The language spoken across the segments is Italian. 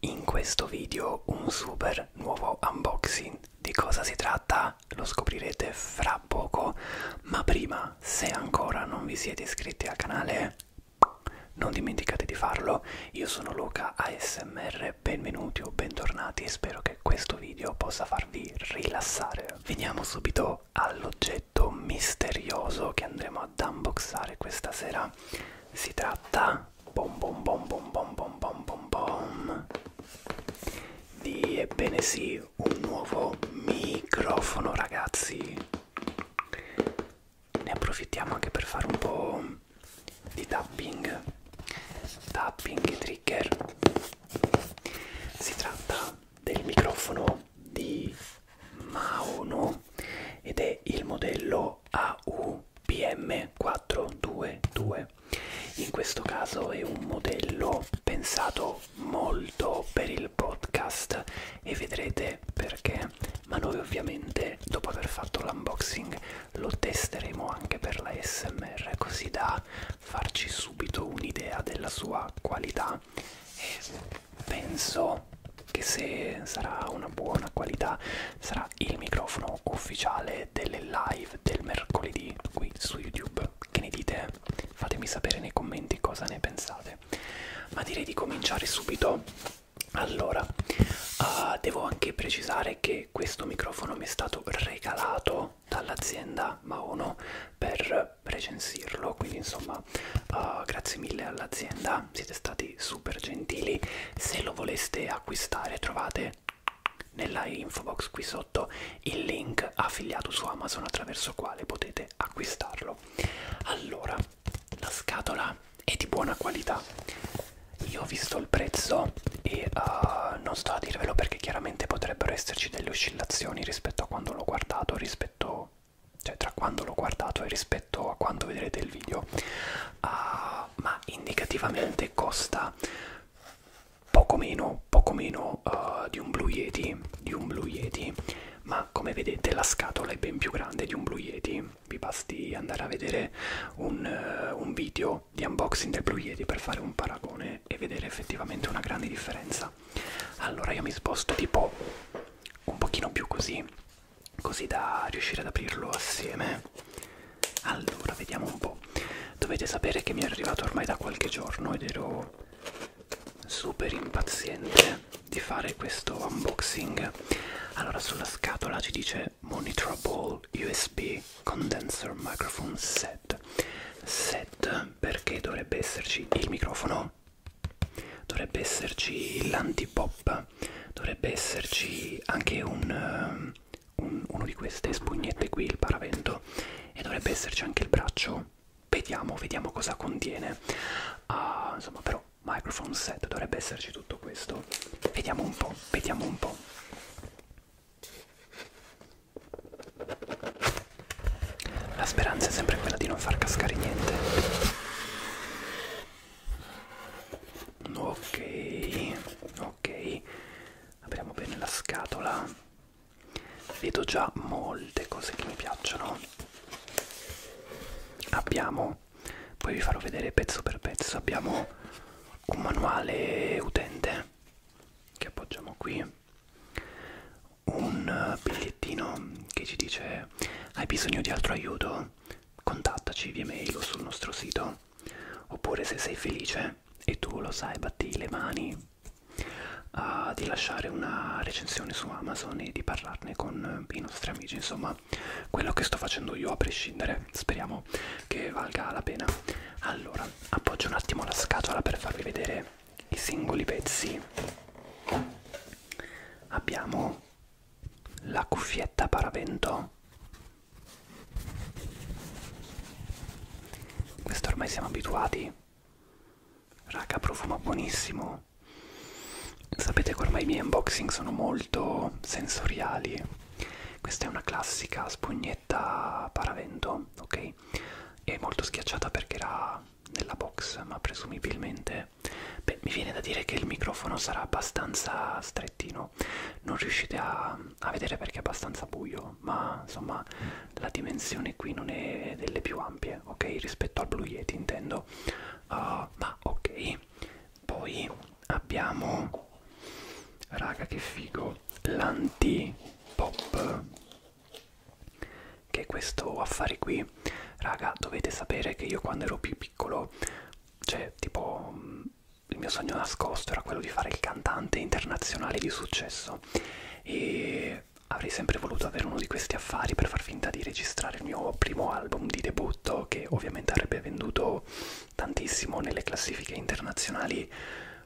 In questo video un super nuovo unboxing, di cosa si tratta lo scoprirete fra poco, ma prima se ancora non vi siete iscritti al canale non dimenticate di farlo, io sono Luca ASMR, benvenuti o bentornati, spero che questo video possa farvi rilassare. Veniamo subito all'oggetto misterioso che andremo ad unboxare questa sera. Si tratta Bom bom bom bom bom bom bom bom bom. Di ebbene sì, un nuovo microfono ragazzi. Ne approfittiamo anche per fare un po' di tapping. Tapping e trigger. Si tratta del microfono di Maono ed è il modello AU PM422. In questo caso è un modello pensato molto per il podcast e vedrete perché, ma noi ovviamente dopo aver fatto l'unboxing lo testeremo anche per la SMR così da farci subito un'idea della sua qualità e penso che se sarà una buona qualità sarà il microfono ufficiale delle live del mercoledì qui su YouTube. Che ne dite? Fatemi sapere nei commenti cosa ne pensate. Ma direi di cominciare subito. Allora, uh, devo anche precisare che questo microfono mi è stato regalato dall'azienda Maono per recensirlo, quindi insomma uh, grazie mille all'azienda realtà siete stati super gentili se lo voleste acquistare trovate nella info box qui sotto il link affiliato su Amazon attraverso quale potete acquistarlo allora la scatola è di buona qualità io ho visto il prezzo e uh, non sto a dirvelo perché chiaramente potrebbero esserci delle oscillazioni rispetto a quando l'ho guardato rispetto cioè tra quando l'ho guardato e rispetto rispetto a quanto vedrete il video uh, ma indicativamente costa poco meno poco meno uh, di un Blue Yeti di un Blue Yeti ma come vedete la scatola è ben più grande di un Blue Yeti vi basti andare a vedere un, uh, un video di unboxing del Blue Yeti per fare un paragone e vedere effettivamente una grande differenza allora io mi sposto tipo un pochino più così così da riuscire ad aprirlo assieme allora vediamo un po' dovete sapere che mi è arrivato ormai da qualche giorno ed ero super impaziente di fare questo unboxing allora sulla scatola ci dice monitorable usb condenser microphone set set perché dovrebbe esserci il microfono dovrebbe esserci l'antipop prima dovrebbe esserci anche un, eh, un, uno di queste spugnette qui, il paravento, e dovrebbe esserci anche il braccio. Vediamo, vediamo cosa contiene. Uh, insomma, però, microphone set, dovrebbe esserci tutto questo. Vediamo un po', vediamo un po'. La speranza è sempre quella di non far cascare niente ok ok apriamo bene la scatola vedo già molte cose che mi piacciono abbiamo poi vi farò vedere pezzo per pezzo abbiamo un manuale utente che appoggiamo qui un bigliettino che ci dice hai bisogno di altro aiuto contattaci via mail o sul nostro sito oppure se sei felice e tu lo sai batti le mani uh, di lasciare una recensione su Amazon e di parlarne con eh, i nostri amici insomma quello che sto facendo io a prescindere speriamo che valga la pena allora appoggio un attimo la scatola per farvi vedere i singoli pezzi abbiamo la cuffietta paravento questo ormai siamo abituati. Raga, profuma buonissimo. Sapete che ormai i miei unboxing sono molto sensoriali. Questa è una classica spugnetta paravento, ok? È molto schiacciata perché era nella box, ma presumibilmente... Beh, mi viene da dire che il microfono sarà abbastanza strettino non riuscite a, a vedere perché è abbastanza buio ma insomma la dimensione qui non è delle più ampie ok rispetto al Blue Yeti intendo uh, ma ok poi abbiamo raga che figo l'anti pop che è questo affare qui raga dovete sapere che io quando ero più piccolo cioè tipo il mio sogno nascosto era quello di fare il cantante internazionale di successo e avrei sempre voluto avere uno di questi affari per far finta di registrare il mio primo album di debutto che ovviamente avrebbe venduto tantissimo nelle classifiche internazionali.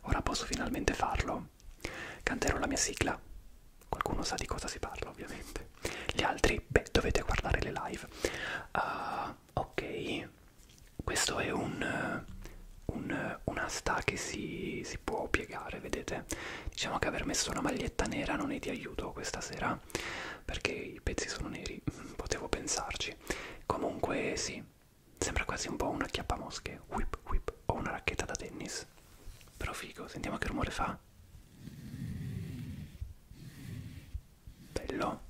Ora posso finalmente farlo. Canterò la mia sigla. Qualcuno sa di cosa si parla ovviamente. Gli altri, beh, dovete guardare le live. Uh, ok questo è un, un, una sta che si, si può piegare vedete diciamo che aver messo una maglietta nera non è di aiuto questa sera perché i pezzi sono neri mm, potevo pensarci comunque sì sembra quasi un po' una chiappamosche whip whip o una racchetta da tennis però figo sentiamo che rumore fa bello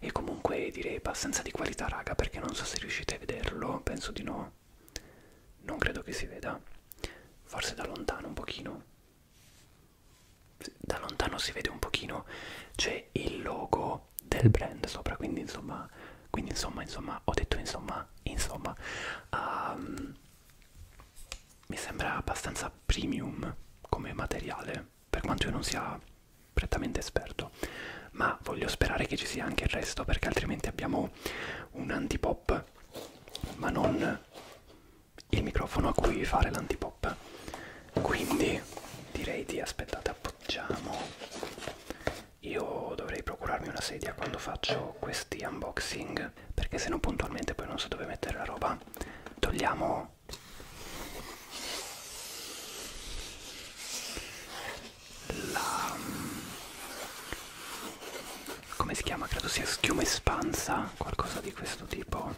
e comunque direi abbastanza di qualità raga perché non so se riuscite a vederlo, penso di no. Non credo che si veda, forse da lontano un pochino. Da lontano si vede un pochino, c'è il logo del brand sopra, quindi insomma, quindi insomma, insomma, ho detto insomma, insomma, um, mi sembra abbastanza premium come materiale, per quanto io non sia prettamente esperto, ma voglio sperare che ci sia anche il resto, perché altrimenti abbiamo un antipop, ma non il microfono a cui fare l'antipop. Quindi direi di aspettate, appoggiamo. Io dovrei procurarmi una sedia quando faccio questi unboxing bene perché se no puntualmente poi non so dove mettere la roba togliamo la come si chiama credo sia schiuma espansa qualcosa di questo tipo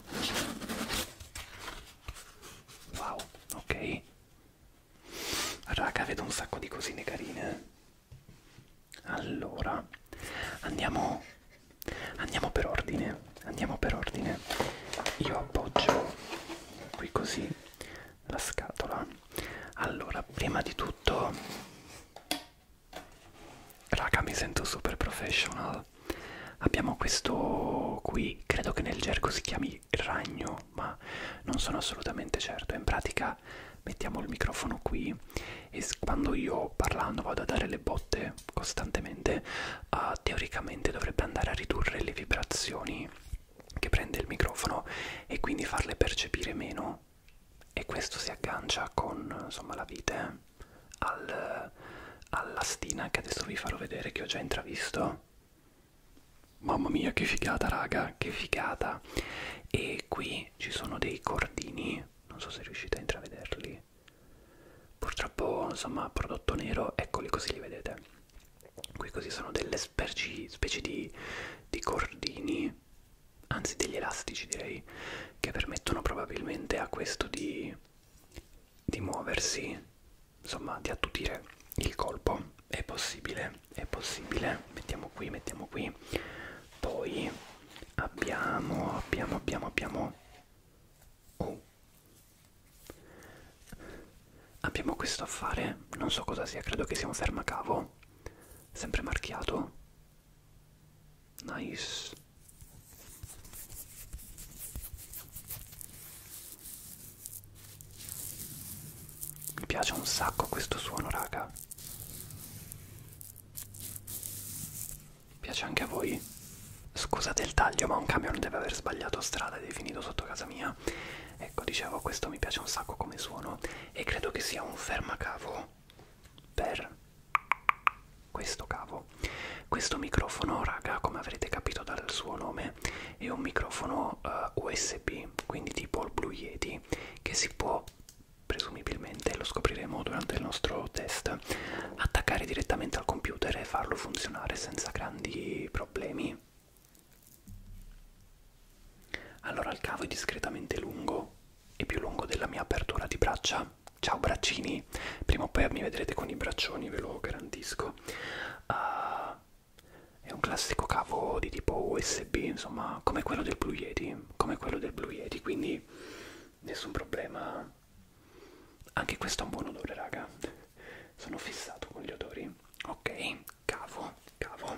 wow ok raga vedo un sacco di cosine carine allora andiamo Andiamo per ordine, andiamo per ordine. Io appoggio qui così la scatola. Allora, prima di tutto, raga, mi sento super professional. Abbiamo questo qui, credo che nel gergo si chiami ragno, ma non sono assolutamente certo. In pratica mettiamo il microfono qui e quando io parlando vado a dare le botte costantemente uh, teoricamente dovrebbe andare a ridurre le vibrazioni che prende il microfono e quindi farle percepire meno e questo si aggancia con insomma la vite eh, al, alla stina che adesso vi farò vedere che ho già intravisto mamma mia che figata raga che figata e qui ci sono dei cordini non so se riuscite a intravederli purtroppo insomma prodotto nero eccoli così li vedete qui così sono delle specie, specie di, di cordini anzi degli elastici direi che permettono probabilmente a questo di, di muoversi insomma di attutire il colpo è possibile è possibile mettiamo qui mettiamo qui poi abbiamo abbiamo abbiamo abbiamo Oh. Abbiamo questo affare, non so cosa sia, credo che sia un fermacavo, sempre marchiato. Nice. Mi piace un sacco questo suono, raga. Piace anche a voi? Scusate il taglio, ma un camion deve aver sbagliato strada ed è finito sotto casa mia. Ecco, dicevo, questo mi piace un sacco come suono e credo che sia un fermacavo per questo cavo. Questo microfono, raga, come avrete capito dal suo nome, è un microfono uh, eh, USB, quindi tipo il Blue Yeti, che si può presumibilmente lo scopriremo durante il nostro test attaccare direttamente al computer e farlo funzionare senza grandi problemi. Allora il cavo è discretamente lungo, è più lungo della mia apertura di braccia. Ciao braccini, prima o poi mi vedrete con i braccioni, ve lo garantisco. Uh, è un classico cavo di tipo USB, insomma, come quello del Blue Yeti, come quello del Blue Yeti, quindi nessun problema anche questo ha un buon odore, raga. Sono fissato con gli odori. Ok, cavo, cavo.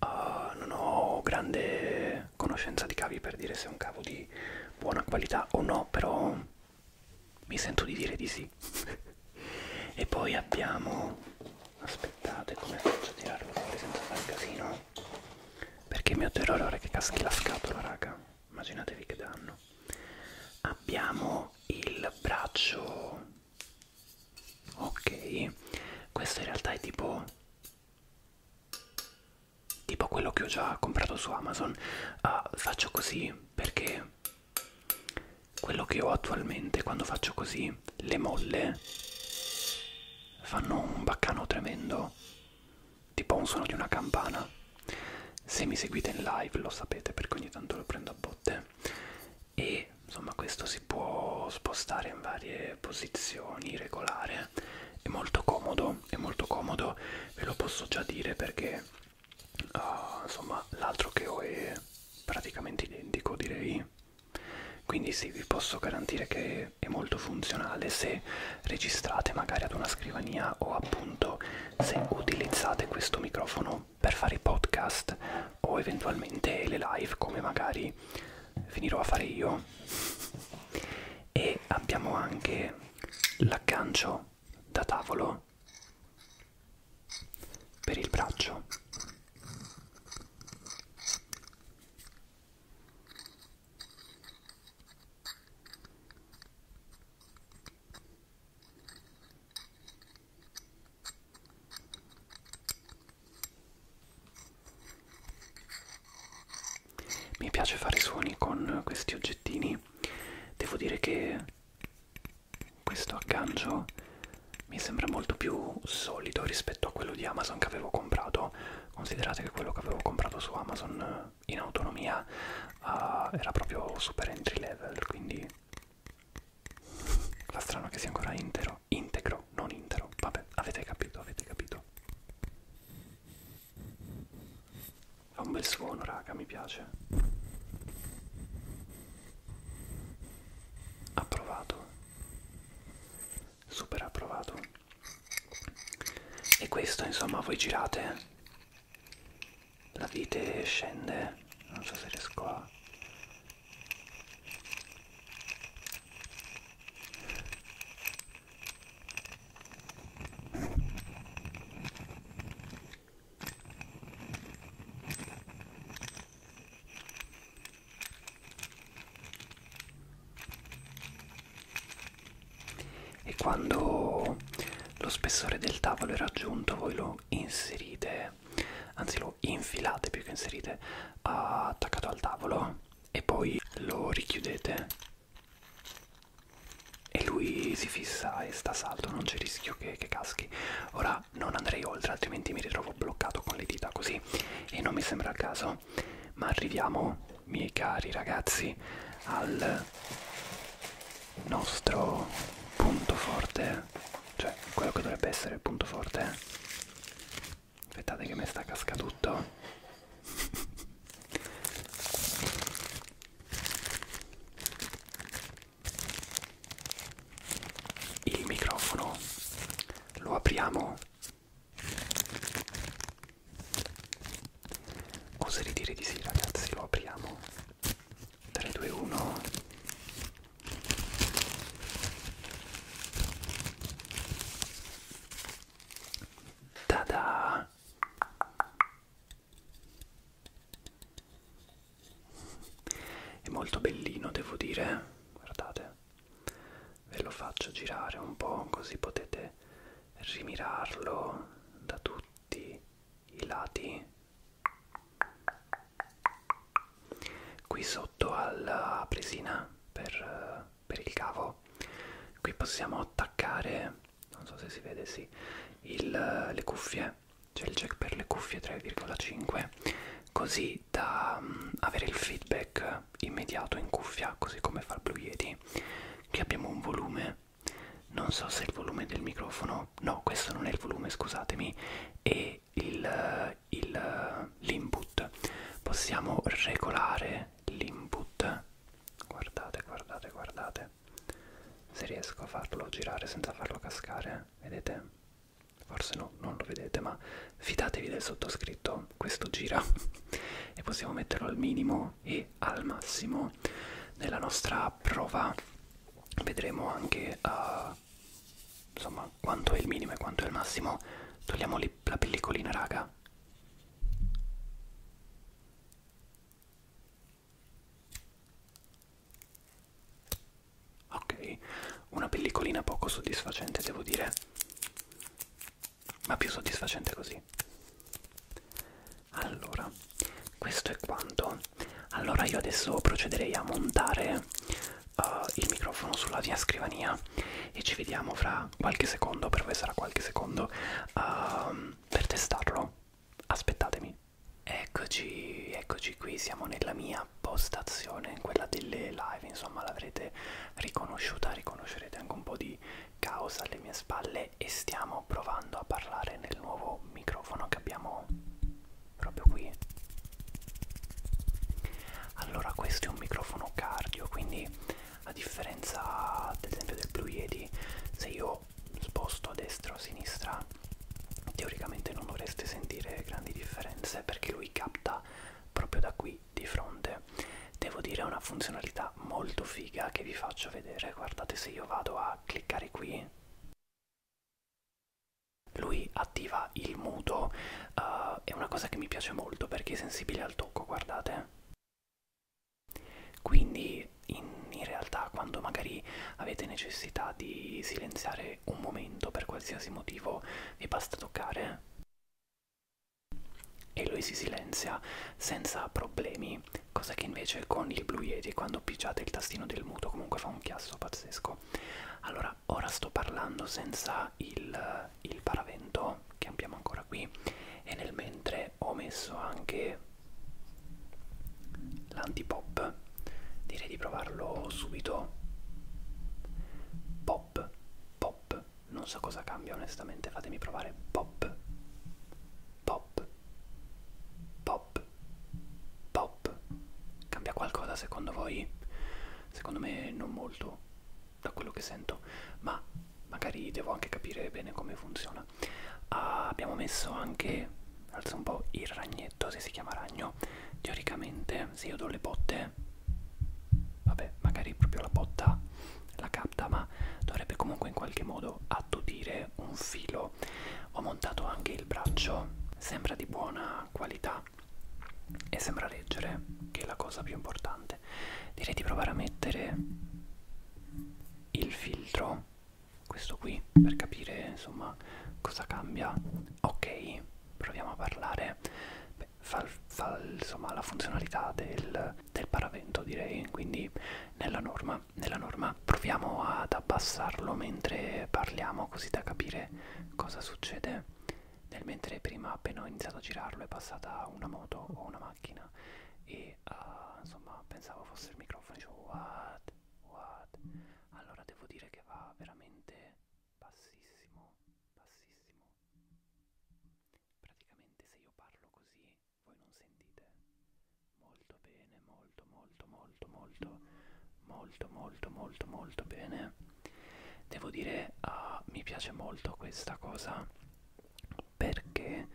Uh, non ho grande conoscenza di cavi per dire se è un cavo di buona qualità o no, però mi sento di dire di sì. e poi abbiamo... Aspettate, come faccio a tirarlo fuori senza fare casino? Perché mio terrore è che caschi la scatola, raga immaginatevi che danno abbiamo il braccio ok questo in realtà è tipo tipo quello che ho già comprato su amazon uh, faccio così perché quello che ho attualmente quando faccio così le molle fanno un baccano tremendo tipo un suono di una campana. Se mi seguite in live lo sapete perché ogni tanto lo prendo a botte. E insomma questo si può spostare in varie posizioni, regolare. È molto comodo, è molto comodo, ve lo posso già dire perché uh, insomma l'altro che ho è praticamente identico direi. Quindi sì, vi posso garantire che che è molto funzionale se registrate magari ad una scrivania o appunto se utilizzate questo microfono per fare i podcast o eventualmente le live come magari finirò a fare io e abbiamo anche l'aggancio da tavolo per il braccio mi piace fare suoni con questi oggettini. Devo dire che questo aggancio mi sembra molto più solido rispetto a quello di Amazon che avevo comprato. Considerate che quello che avevo comprato su Amazon in autonomia uh, era proprio super entry level, quindi fa strano che sia ancora intero, integro, non intero, vabbè, avete capito, avete capito. Fa un bel suono, raga, mi piace. Approvato. Super approvato e questo insomma voi girate la vite scende non so se riesco a e quando lo spessore del tavolo è raggiunto voi lo inserite anzi lo infilate più che inserite attaccato al tavolo e poi lo richiudete e lui si fissa e sta a saldo non c'è rischio che, che caschi ora non andrei oltre altrimenti mi ritrovo bloccato con le dita così e non mi sembra il caso ma arriviamo miei cari ragazzi al nostro punto forte cioè quello che dovrebbe essere il punto forte aspettate che mi sta casca tutto il microfono lo apriamo Oserei dire di sì ragazzi, lo apriamo. 3, 2, 1. Tada! È molto bellino, devo dire. Guardate, ve lo faccio girare un po' così potete rimirarlo da tutti i lati qui sotto alla presina per, per il cavo qui possiamo attaccare non so se si vede sì il, le cuffie c'è il jack per le cuffie 3,5 così da mm, avere il feedback immediato in cuffia così come fa il Blue Yeti che abbiamo un volume volume non so se il volume del microfono no questo non è il volume scusatemi è l'input possiamo regolare l'input guardate guardate guardate se riesco a farlo girare senza farlo cascare vedete forse no non lo vedete ma fidatevi del sottoscritto questo gira e possiamo metterlo al minimo e portare al massimo nella nostra prova vedremo anche uh, insomma quanto è il minimo e quanto è il massimo togliamo la pellicolina raga ok una pellicolina poco soddisfacente devo dire ma più soddisfacente così allora questo è quanto allora io adesso procederei a montare uh, il microfono sulla mia scrivania e ci vediamo fra qualche secondo per voi sarà qualche secondo uh, per testarlo aspettatemi eccoci eccoci qui siamo nella mia postazione quella delle live insomma l'avrete riconosciuta riconoscerete anche un po' di caos alle mie spalle e stiamo provando a parlare nel nuovo microfono che abbiamo proprio qui allora questo è un microfono cardio quindi a differenza ad esempio del Blue Yeti se io sposto a destra o a sinistra teoricamente non dovreste sentire grandi differenze perché lui capta proprio da qui di fronte devo dire è una funzionalità modalità molto figa che vi faccio vedere. Guardate se io vado a cliccare qui. Lui attiva il muto, uh, è una cosa che mi piace molto perché è sensibile al tocco, guardate. Quindi in, in realtà quando magari avete necessità di silenziare un momento per qualsiasi motivo vi basta toccare e lui si silenzia senza problemi mini cosa che invece con il Blue Yeti quando pigiate il tastino del muto comunque fa un chiasso pazzesco allora ora sto parlando senza il, il paravento che abbiamo ancora qui e nel mentre ho messo anche l'antipop direi di provarlo subito pop pop non so cosa cambia onestamente fatemi provare pop pop pop pop pop cambia qualcosa secondo voi secondo me non molto da quello che sento ma magari devo anche capire bene come funziona ah, abbiamo messo anche alza un po il ragnetto se si chiama ragno teoricamente se io do le botte vabbè magari proprio la botta la capta ma dovrebbe comunque in qualche modo attutire un filo ho montato anche il braccio sembra di buona qualità e sembra leggere che è la cosa più importante direi di provare a mettere il filtro questo qui per capire insomma cosa cambia ok proviamo a parlare Beh, fa, fa insomma la funzionalità del, del paravento direi quindi nella norma nella norma proviamo ad abbassarlo mentre parliamo così da capire cosa succede nel mentre prima appena ho iniziato a girarlo è passata una moto o una macchina e uh, insomma pensavo fosse il microfono dicevo what what allora devo dire che va veramente bassissimo bassissimo praticamente se io parlo così voi non sentite molto bene, molto molto molto molto molto molto molto molto bene. Devo dire uh, mi piace molto questa cosa perché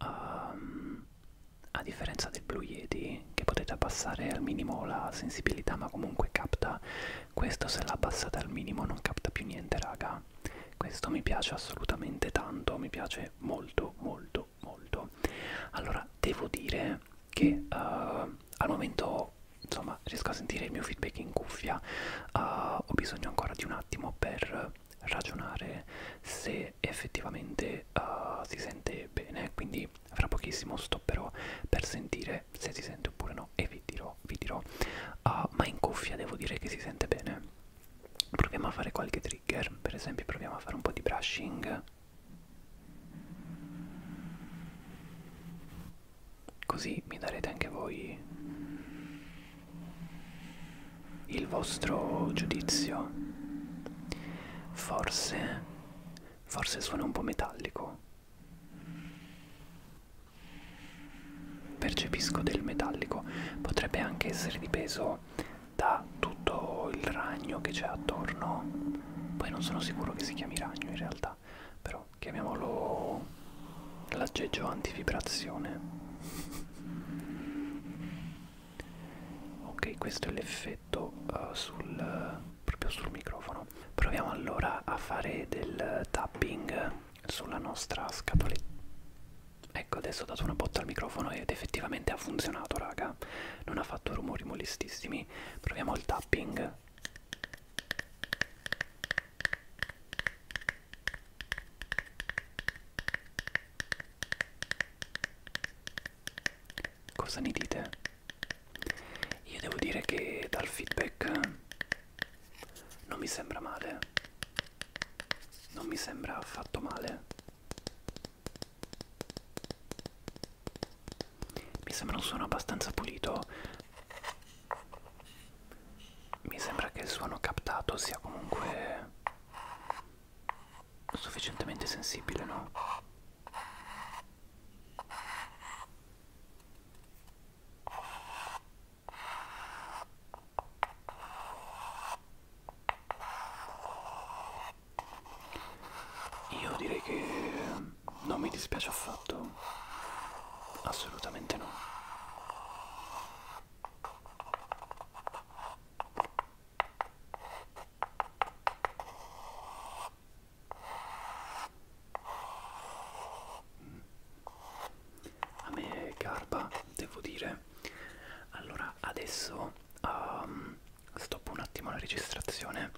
um, a differenza del Blue Yeti che potete abbassare al minimo la sensibilità ma comunque capta questo se la abbassate al minimo non capta più niente raga questo mi piace assolutamente tanto mi piace molto molto molto allora devo dire che uh, al momento insomma riesco a sentire il mio feedback in cuffia uh, ho bisogno ancora di un attimo per ragionare se effettivamente uh, si sente bene quindi fra pochissimo stopperò per sentire se si sente oppure no e vi dirò vi dirò uh, ma in cuffia devo dire che si sente bene proviamo a fare qualche tri trigger per esempio proviamo a fare un po' di brushing così mi darete anche voi il vostro giudizio forse forse suona un po' metallico percepisco del metallico potrebbe anche essere di peso da tutto il ragno che c'è attorno poi non sono sicuro che si chiami ragno in realtà però chiamiamolo l'aggeggio antivibrazione ok questo è l'effetto uh, sul uh, proprio sul microfono proviamo allora a fare del tapping sulla nostra scatoletta Ecco, adesso ho dato una botta al microfono ed effettivamente ha funzionato, raga. Non ha fatto rumori molestissimi. Proviamo il tapping. Cosa ne dite? Io devo dire che dal feedback non mi sembra male. Non mi sembra affatto male. Mi sembra un suono abbastanza pulito. Mi sembra che il suono captato sia comunque sufficientemente sensibile, no? Io direi che non mi dispiace affatto, assolutamente no. A me garba, devo dire. Allora, adesso um, stoppo un attimo la registrazione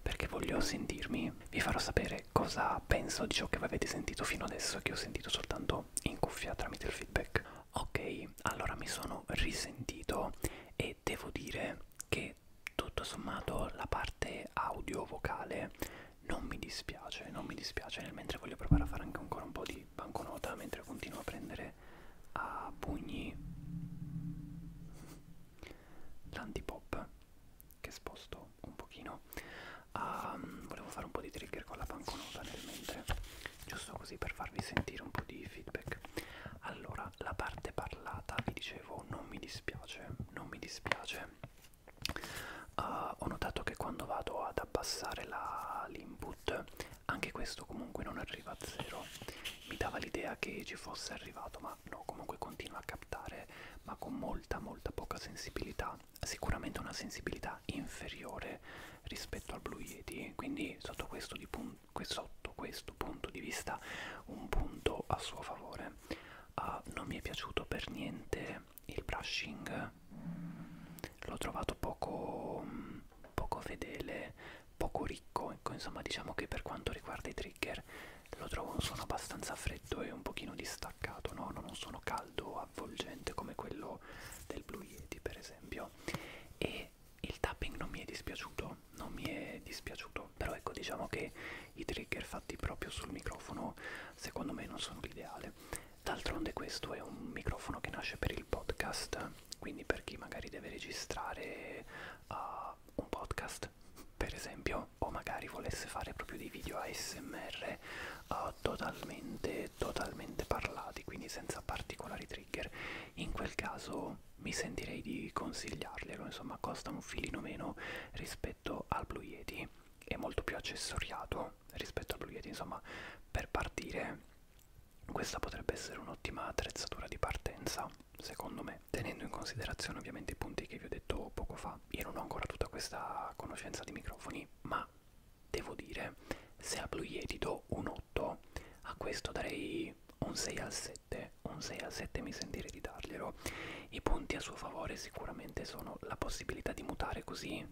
perché voglio sentirmi, vi farò sapere cosa penso di ciò che avete sentito fino adesso che ho sentito soltanto in cuffia tramite il feedback. Ok, allora mi sono risentito e devo dire che tutto sommato la parte audio vocale non mi dispiace, non mi dispiace, nel mentre voglio provare a fare anche ancora un po' di di banconota mentre continuo a prendere a pugni l'antipop che sposto un pochino um, volevo fare un po' di trigger con la banconota nel mentre giusto così per farvi sentire un po' di feedback allora la parte parlata vi dicevo non mi dispiace non mi dispiace uh, ho notato che quando vado ad abbassare l'input anche questo comunque non arriva a zero mi dava l'idea che ci fosse arrivato ma no comunque continua a captare ma con molta molta poca sensibilità sicuramente una sensibilità inferiore rispetto al Blue Yeti quindi sotto questo, di sotto questo punto di vista un punto a suo favore uh, non mi è piaciuto per niente il brushing l'ho trovato poco mm, poco fedele, poco ricco, ecco, insomma diciamo che per quanto riguarda i trigger lo trovo un suono abbastanza freddo e un pochino distaccato, no? non un suono caldo o avvolgente come quello del Blue Yeti per esempio e il tapping non mi è dispiaciuto, non mi è dispiaciuto, però ecco diciamo che i trigger fatti proprio sul microfono secondo me non sono l'ideale. D'altronde questo è un microfono che nasce per il podcast quindi per chi magari deve registrare uh, un podcast per esempio o magari volesse fare proprio dei video ASMR uh, totalmente totalmente parlati quindi senza particolari trigger in quel caso mi sentirei di consigliarglielo insomma costa un filino meno rispetto al Blue Yeti è molto più accessoriato rispetto al Blue Yeti insomma per partire questa potrebbe essere un'ottima attrezzatura di partenza, secondo me, tenendo in considerazione ovviamente i punti che vi ho detto poco fa. Io non ho ancora tutta questa conoscenza di microfoni, ma devo dire, se a Blue Yeti do un 8, a questo darei un 6 al 7, un 6 al 7 mi sentirei di darglielo. I punti a suo favore sicuramente sono la possibilità di mutare così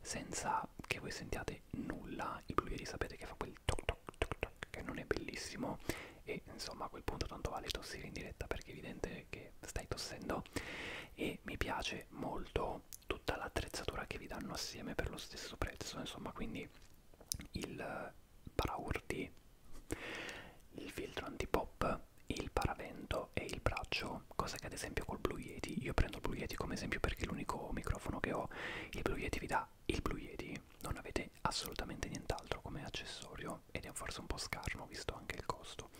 senza che voi sentiate nulla il bluieri sapete che fa quel toc toc toc toc che non è bellissimo e insomma a quel punto tanto vale tossire in diretta perché è evidente che stai tossendo e mi piace molto tutta l'attrezzatura che vi danno assieme per lo stesso prezzo insomma quindi il paraurti il filtro antipop il paravento e il braccio cosa che ad esempio col Blue Yeti, io prendo il Blue Yeti come esempio perché è l'unico microfono che ho, il Blue Yeti vi dà il Blue Yeti, non avete assolutamente nient'altro come accessorio ed è forse un po' scarno visto anche il costo.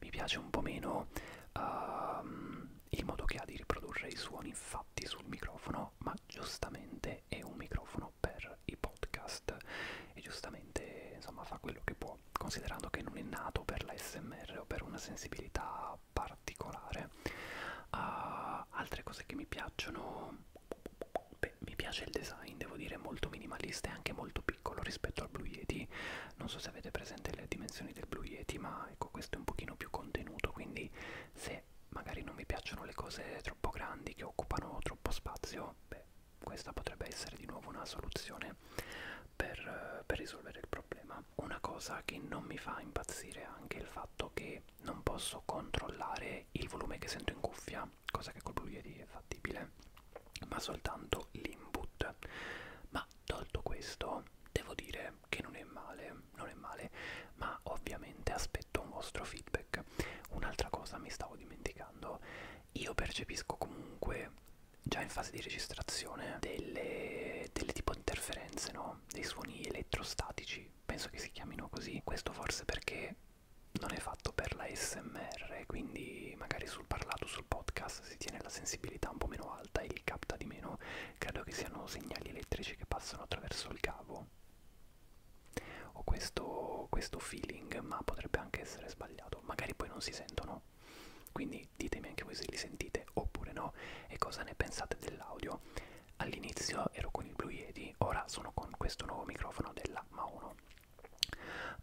Mi piace un po' meno uh, il modo che ha di riprodurre i suoni fatti sul microfono, ma giustamente è un microfono per i podcast e giustamente insomma fa quello che può, considerando che non è nato per la SMR o per una sensibilità particolare uh, altre cose che mi piacciono beh, mi piace il design devo dire molto minimalista e anche molto piccolo rispetto al Blue Yeti non so se avete presente le dimensioni del Blue Yeti ma ecco questo è un pochino più contenuto quindi se magari non mi piacciono le cose troppo grandi che occupano troppo spazio beh questa potrebbe essere di nuovo una soluzione per, per risolvere il problema una cosa che non mi fa impazzire è anche il fatto che non posso controllare il volume che sento in cuffia, cosa che col Blue Yeti è fattibile, ma soltanto l'input. Ma tolto questo, devo dire che non è male, non è male, ma ovviamente aspetto un vostro feedback. Un'altra cosa mi stavo dimenticando, io percepisco comunque già in fase di registrazione delle, delle tipo interferenze, no? sono dei suoni elettrostatici, penso che si chiamino così, questo forse perché non è fatto per la SMR, quindi magari sul parlato, sul podcast si tiene la sensibilità un po' meno alta e li capta di meno, credo che siano segnali elettrici che passano attraverso il cavo. Ho questo, questo feeling, ma potrebbe anche essere sbagliato, magari poi non si sentono. Quindi ditemi anche voi se li sentite oppure no e cosa ne pensate dell'audio. All'inizio ero con il Blue Yeti, ora sono con questo nuovo microfono della Mauno.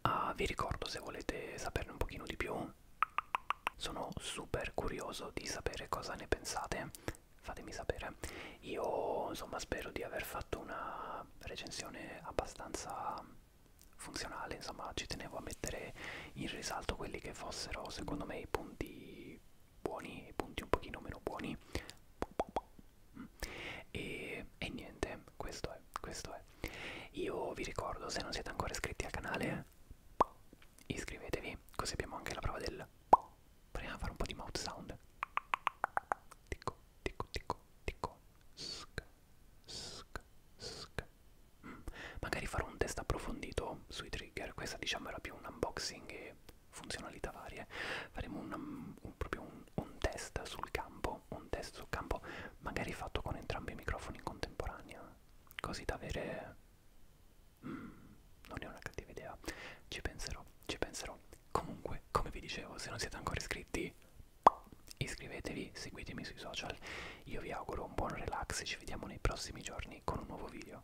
Uh, vi ricordo se volete saperne un pochino di più, sono super curioso di sapere cosa ne pensate, fatemi sapere. Io insomma spero di aver fatto una recensione abbastanza funzionale, insomma ci tenevo a mettere in risalto quelli che fossero secondo me i punti punti buoni e punti un pochino meno buoni e, e niente questo è questo è io vi ricordo se non siete ancora iscritti al canale iscrivetevi così abbiamo anche la prova del proviamo a fare un po' di mouth sound ticco ticco ticco ticco sk sk sk magari farò un test approfondito sui trigger questa diciamo era più un unboxing e funzionalità varie faremo un, um, un, proprio un, un test sul campo un test sul campo magari fatto con entrambi i microfoni in contemporanea così da avere mm, non è una cattiva idea ci penserò ci penserò comunque come vi dicevo se non siete ancora iscritti iscrivetevi seguitemi sui social io vi auguro un buon relax e ci vediamo nei prossimi giorni con un nuovo video